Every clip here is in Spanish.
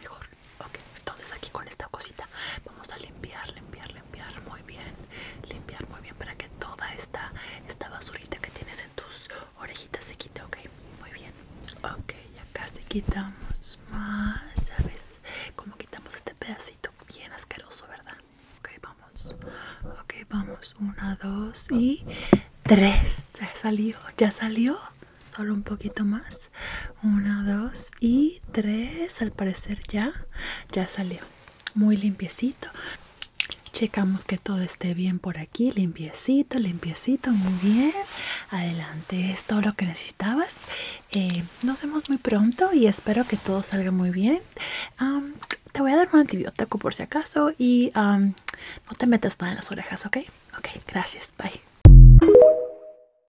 mejor ok entonces aquí con esta cosita vamos a limpiar limpiar limpiar muy bien limpiar muy bien para que toda esta esta basurita que tienes en tus orejitas se quite ok muy bien ok ya casi quitamos más sabes como quitamos este pedacito bien asqueroso verdad ok vamos ok vamos una dos y tres ha salido, ya salió solo un poquito más 1 dos y tres. al parecer ya ya salió muy limpiecito checamos que todo esté bien por aquí limpiecito limpiecito muy bien adelante es todo lo que necesitabas eh, nos vemos muy pronto y espero que todo salga muy bien te voy a dar un antibiótico por si acaso y no te metas nada en las orejas, ¿ok? Ok, gracias, bye.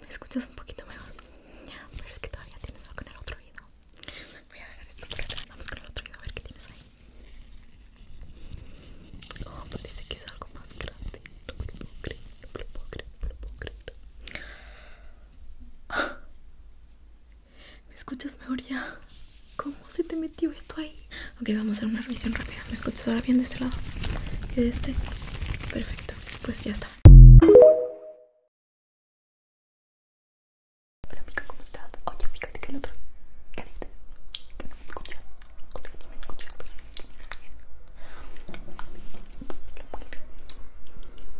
Me escuchas un poquito mejor, pero es que todavía tienes algo en el otro oído. Voy a dejar esto por acá. Vamos con el otro oído a ver qué tienes ahí. Oh, parece que es algo más grande. No me lo puedo creer, no me lo puedo creer, no me lo puedo creer. Ah. ¿Me escuchas mejor ya? ¿Cómo se te metió esto ahí? Ok, vamos a hacer una revisión rápida. ¿Me escuchas ahora bien de este lado? ¿Que de este? Perfecto, pues ya está. Hola amiga, ¿cómo estás? Oye, fíjate que el otro... Carita, Escucha, no me escucha.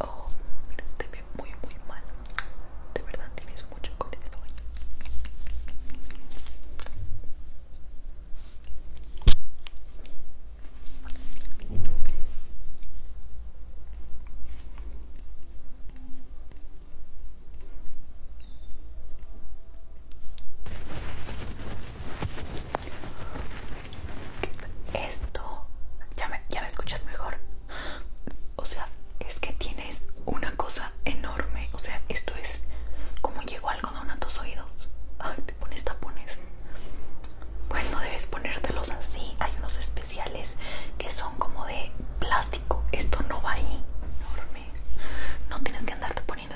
Oh, te ve muy muy mal. De verdad tienes mucho color esto, ya me, escuchas mejor. O sea, es que tienes una cosa enorme. O sea, esto es como llegó algodón a tus oídos. te pones tapones. Pues no debes ponértelos así. Hay unos especiales que son como de plástico. Esto no va ahí. Enorme. No tienes que andarte poniendo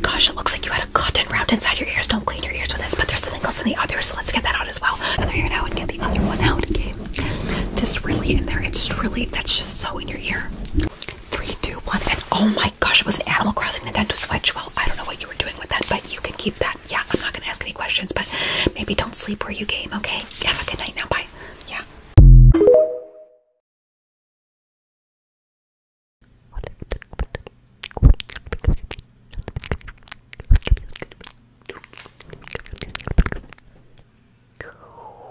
Gosh, it looks like you had a cotton round inside your ears. Don't clean your ears with this, but there's something else in the other, so let's get that out as well. And Another ear now and get the other one out. Okay. This really in there. It's really that's just so in your ear. Three, two, one, and oh my gosh, it was an Animal Crossing Nintendo Switch. Well, I don't know what you were doing with that, but you can keep that. Yeah, I'm not gonna ask any questions, but maybe don't sleep where you game, okay? Have a good night now. Bye. Yeah. Oh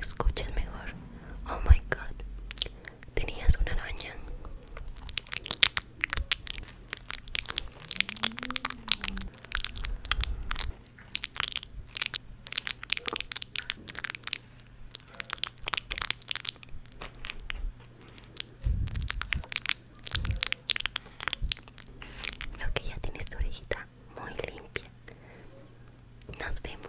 Escuchen mejor. Oh my god. Tenías una araña lo que ya tienes tu orejita muy limpia. Nos vemos.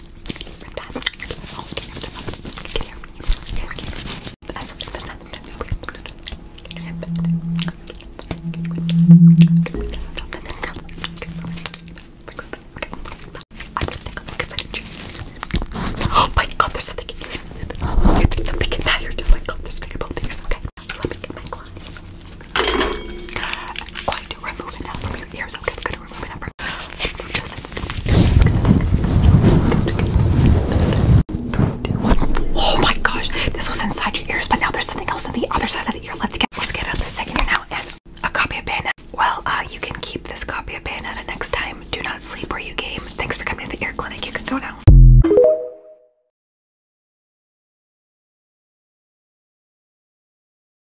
Oh my god, there's something in here. There's something in that. You're just like, oh, there's bigger both here. Okay, let me get my gloves. I'm going to remove it now from your ears. Okay, I'm going to remove it now Oh my gosh, this was inside your ears, but now there's something else on the other side of the ear. Let's get let's get out the second ear now and a copy of Bayonetta. Well, uh, you can keep this copy of Bayonetta next time. Do not sleep or you game. Thanks for coming to the ear clinic. You can go now.